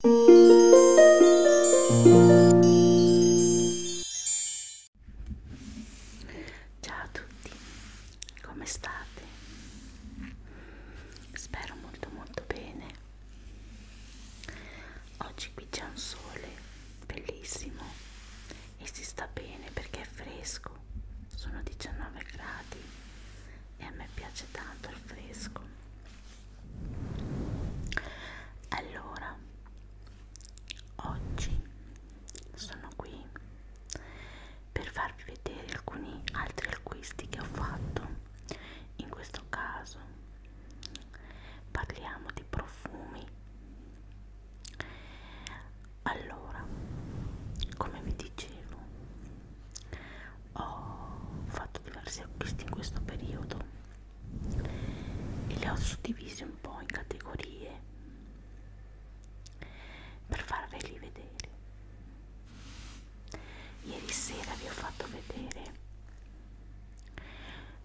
Ciao a tutti, come state? Spero molto molto bene. Oggi qui c'è un sole bellissimo e si sta bene perché è fresco, sono 19 gradi e a me piace tanto il fresco allora oggi sono qui per farvi vedere alcuni altri acquisti che ho fatto in questo caso parliamo di profumi allora come vi dicevo ho fatto diversi acquisti in questo periodo e li ho suddivisi un po' in categorie per farveli vedere ieri sera vi ho fatto vedere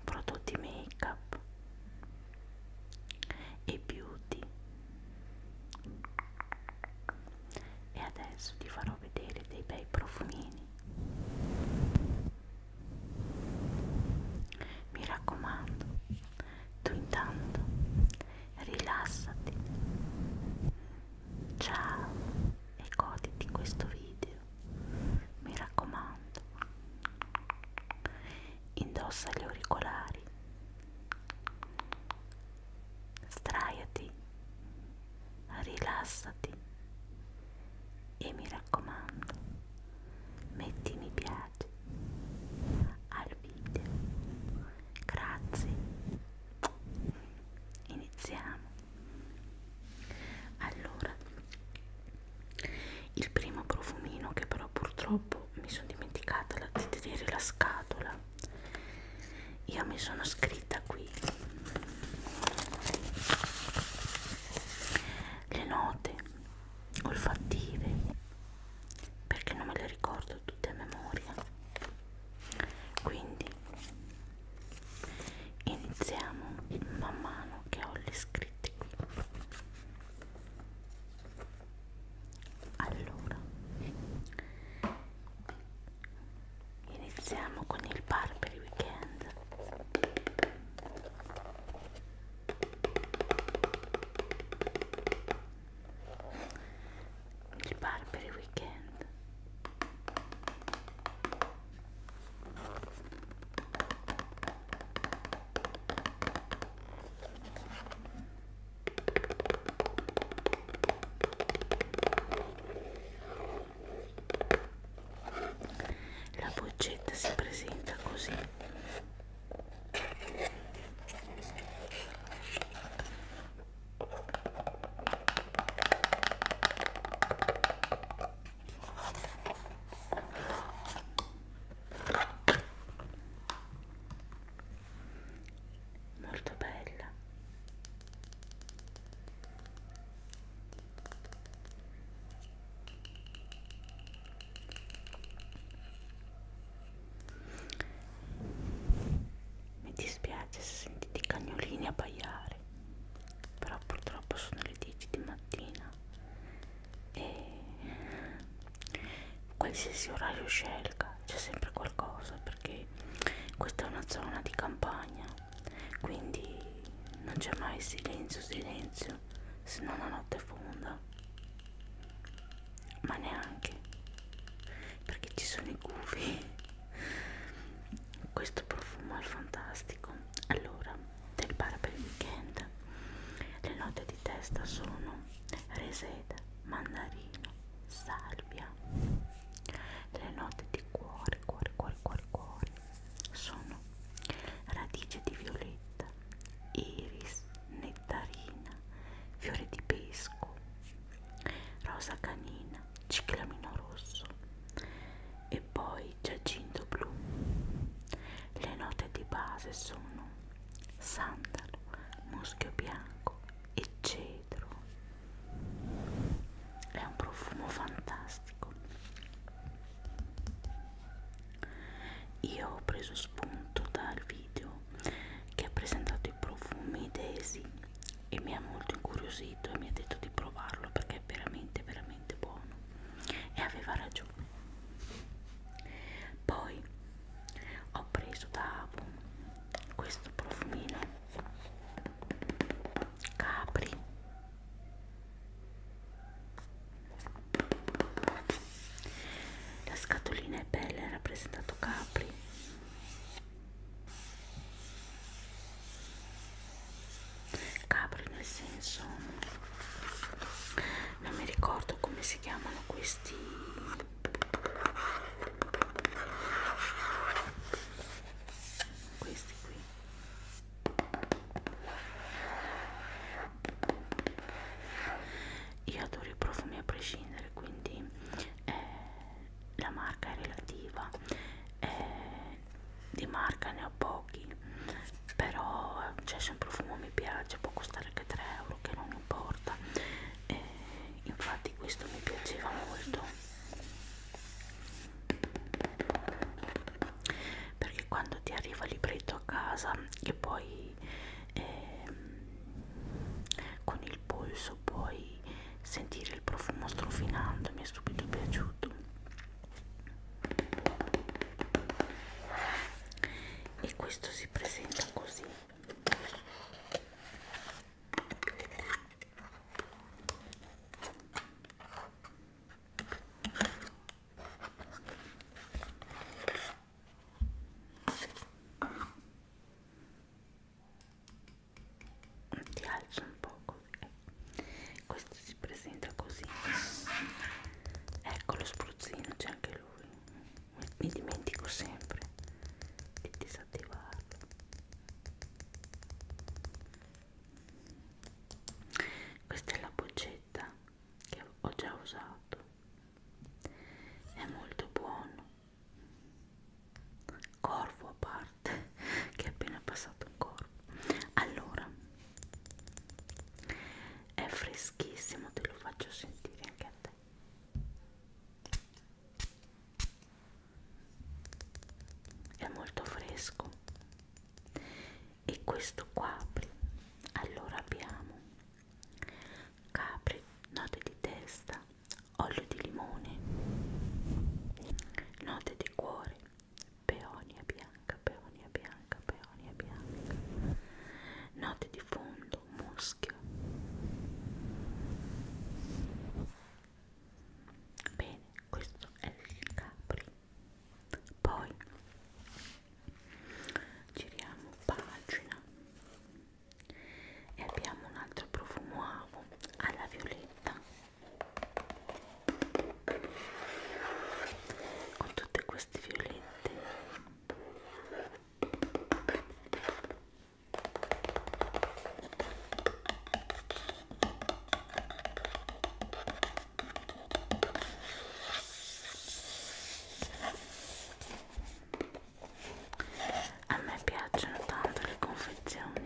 prodotti make up e beauty e adesso ti farò vedere dei bei profumini mi raccomando tu intanto rilassati ciao e goditi questo video mi raccomando indossa gli auricolari straiati, rilassati e mi raccomando, metti mi piace al video. Grazie. Iniziamo. Allora, il primo profumino che però purtroppo mi sono dimenticata di tenere la scatola io mi sono scritta qui le note olfattive perché non me le ricordo tutte a memoria quindi iniziamo man mano che ho le scritte qui allora iniziamo con il bar per il weekend il bar per il weekend la boccetta si presenta così molto bella mi dispiace se sentite i cagnolini abbaiare però purtroppo sono le 10 di mattina e qualsiasi orario scelga c'è sempre qualcosa perché questa è una zona di campagna quindi non c'è mai silenzio silenzio se non la notte fonda ma neanche perché ci sono i gufi questo profumo è fantastico allora del bar per il weekend le note di testa sono reseda, mandarino, salvia. Le note di cuore, cuore, cuore, cuore, cuore sono radice di violetta, iris, nettarina, fiore di pesco, rosa canina, ciclamino rosso e poi giacinto blu. Le note di base sono sandalo, muschio bianco e cedro. È un profumo fantastico. Io ho preso spunto dal video che ha presentato i profumi Daisy e mi ha molto incuriosito e mi ha detto di provarlo perché è veramente veramente buono e aveva ragione pomeriggio. Poi ho preso da Abu questo profumino Capri la scatolina è bella, è rappresentato Capri Capri nel senso non mi ricordo come si chiamano questi questi qui io adoro i profumi a prescindere quindi eh, la marca è relativa eh, di marca ne ho poco pochi però c'è cioè, un profumo mi piace può costare anche 3 euro che non importa e infatti questo mi piaceva molto perché quando ti arriva il libretto a casa che poi eh, con il polso puoi sentire il profumo strofinando mi è subito piaciuto e questo si presenta così ti alzo un po' così questo si presenta così ecco lo spruzzino c'è anche lui mi, mi dimentico sempre di disattivarlo questa è la boccetta che ho già usato è molto buono corvo a parte che è appena passato un corvo allora è freschissimo te lo faccio sentire anche a te è molto fresco e questo qua allora abbiamo capri note di testa olio di limone note di cuore peonia bianca, peonia bianca, peonia bianca, note di fondo, muschio. Bene, questo è il capri. Poi giriamo pagina e abbiamo un altro profumo alla violetta con tutti questi violetti a me piacciono tanto le confezioni situazione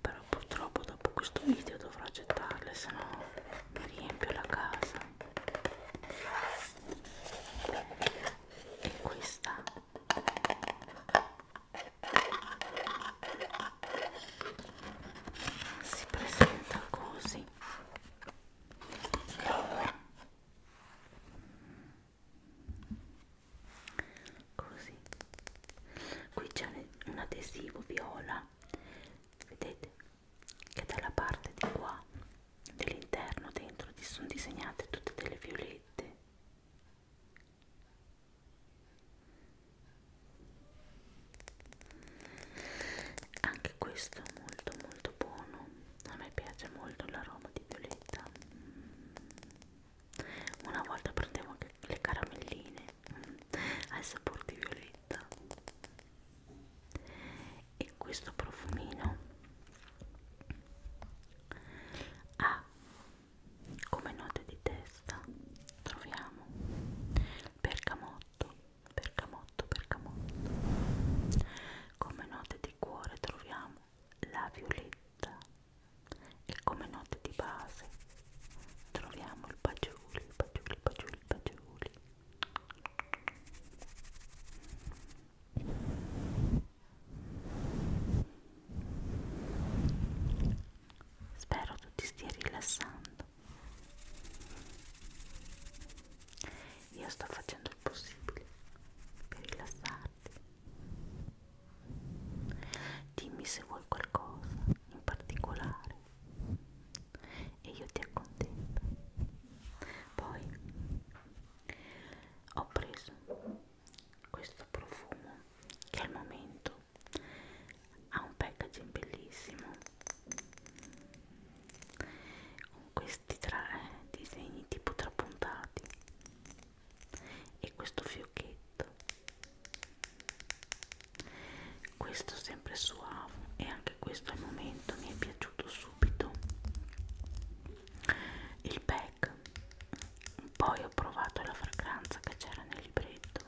però purtroppo dopo questo video dovrò gettarle se no mi riempio la casa e questa si presenta così così qui c'è un adesivo viola vedete che dalla parte di qua dell'interno dentro ci sono disegnate tutte delle violette anche questo è molto molto buono a me piace molto l'aroma di violetta mm una volta prendevo anche le caramelline mm, al sapore di violetta e questo profumino ha come note di testa troviamo bergamotto bergamotto bergamotto come note di cuore troviamo la violetta e come note di base troviamo il pagiuli, il pagiuli, il pagiuli, il pagiuli. Spero tu ti stia rilassando. Io sto facendo il possibile per rilassarti anni. Dimmi se vuoi qualcosa in particolare e io ti accontento. Poi ho preso questo profumo che al momento ha un packaging bellissimo con questi tre disegni tipo trapuntati e questo fiocchetto questo sempre suave e anche questo al momento mi è piaciuto subito il pack poi ho provato la fragranza che c'era nel libretto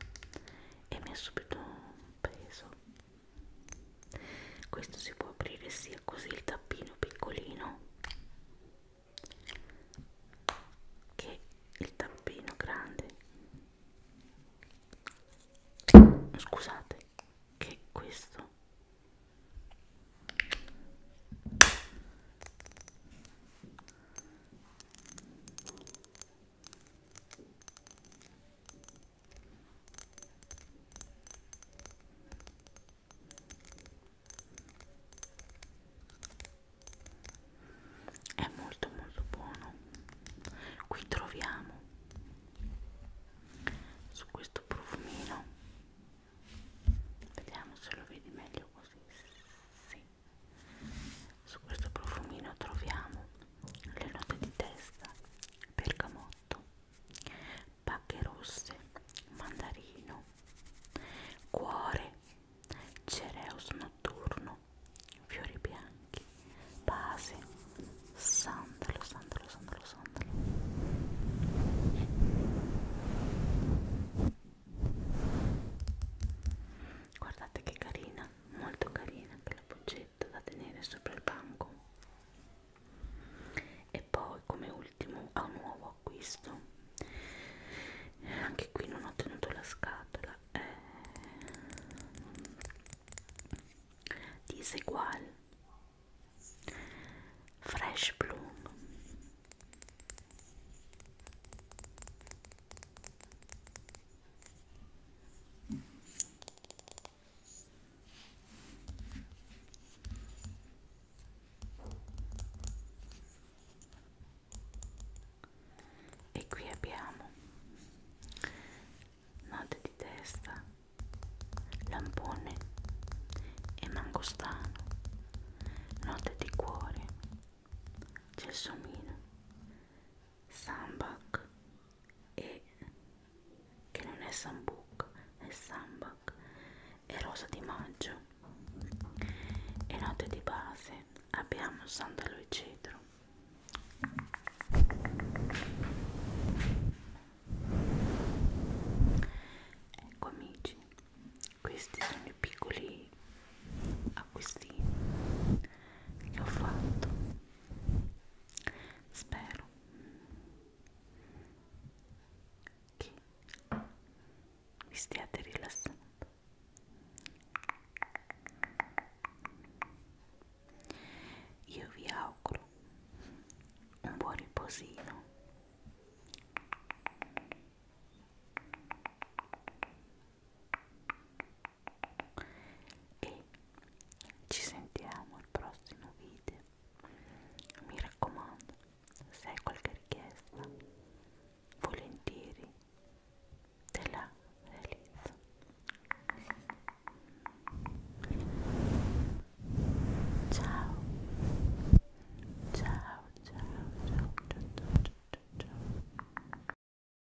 e mi ha subito preso questo si può aprire sia così il tappino piccolino che il tappino grande scusate che questo è molto molto buono qui troviamo su questo profumino vediamo se lo vedi meglio così sì. su questo profumino troviamo le note di testa bergamotto gelato, pacche rosse, mandarino, cuore, cereus notturno, fiori bianchi, base, sandalo, sandalo, sandalo, sandalo. Guardate che carina, molto carina quella boccetta valigetta da tenere sopra il banco e poi come ultimo a un nuovo acquisto anche qui non ho tenuto la scatola eh, disegual fresh bloom e qui abbiamo note di testa lampone e mangostano note di cuore gelsomino Sambak e che non è Sambuk, è Sambak e Rosa di Maggio e note di base abbiamo Sandalo e Cedro ecco amici questi sono i piccoli acquistini che ho fatto spero che vi stiate rilassando io vi auguro un buon riposino e ci sentiamo al prossimo video mi raccomando se hai qualche richiesta volentieri te la realizzo ciao ciao ciao ciao ciao ciao ciao ciao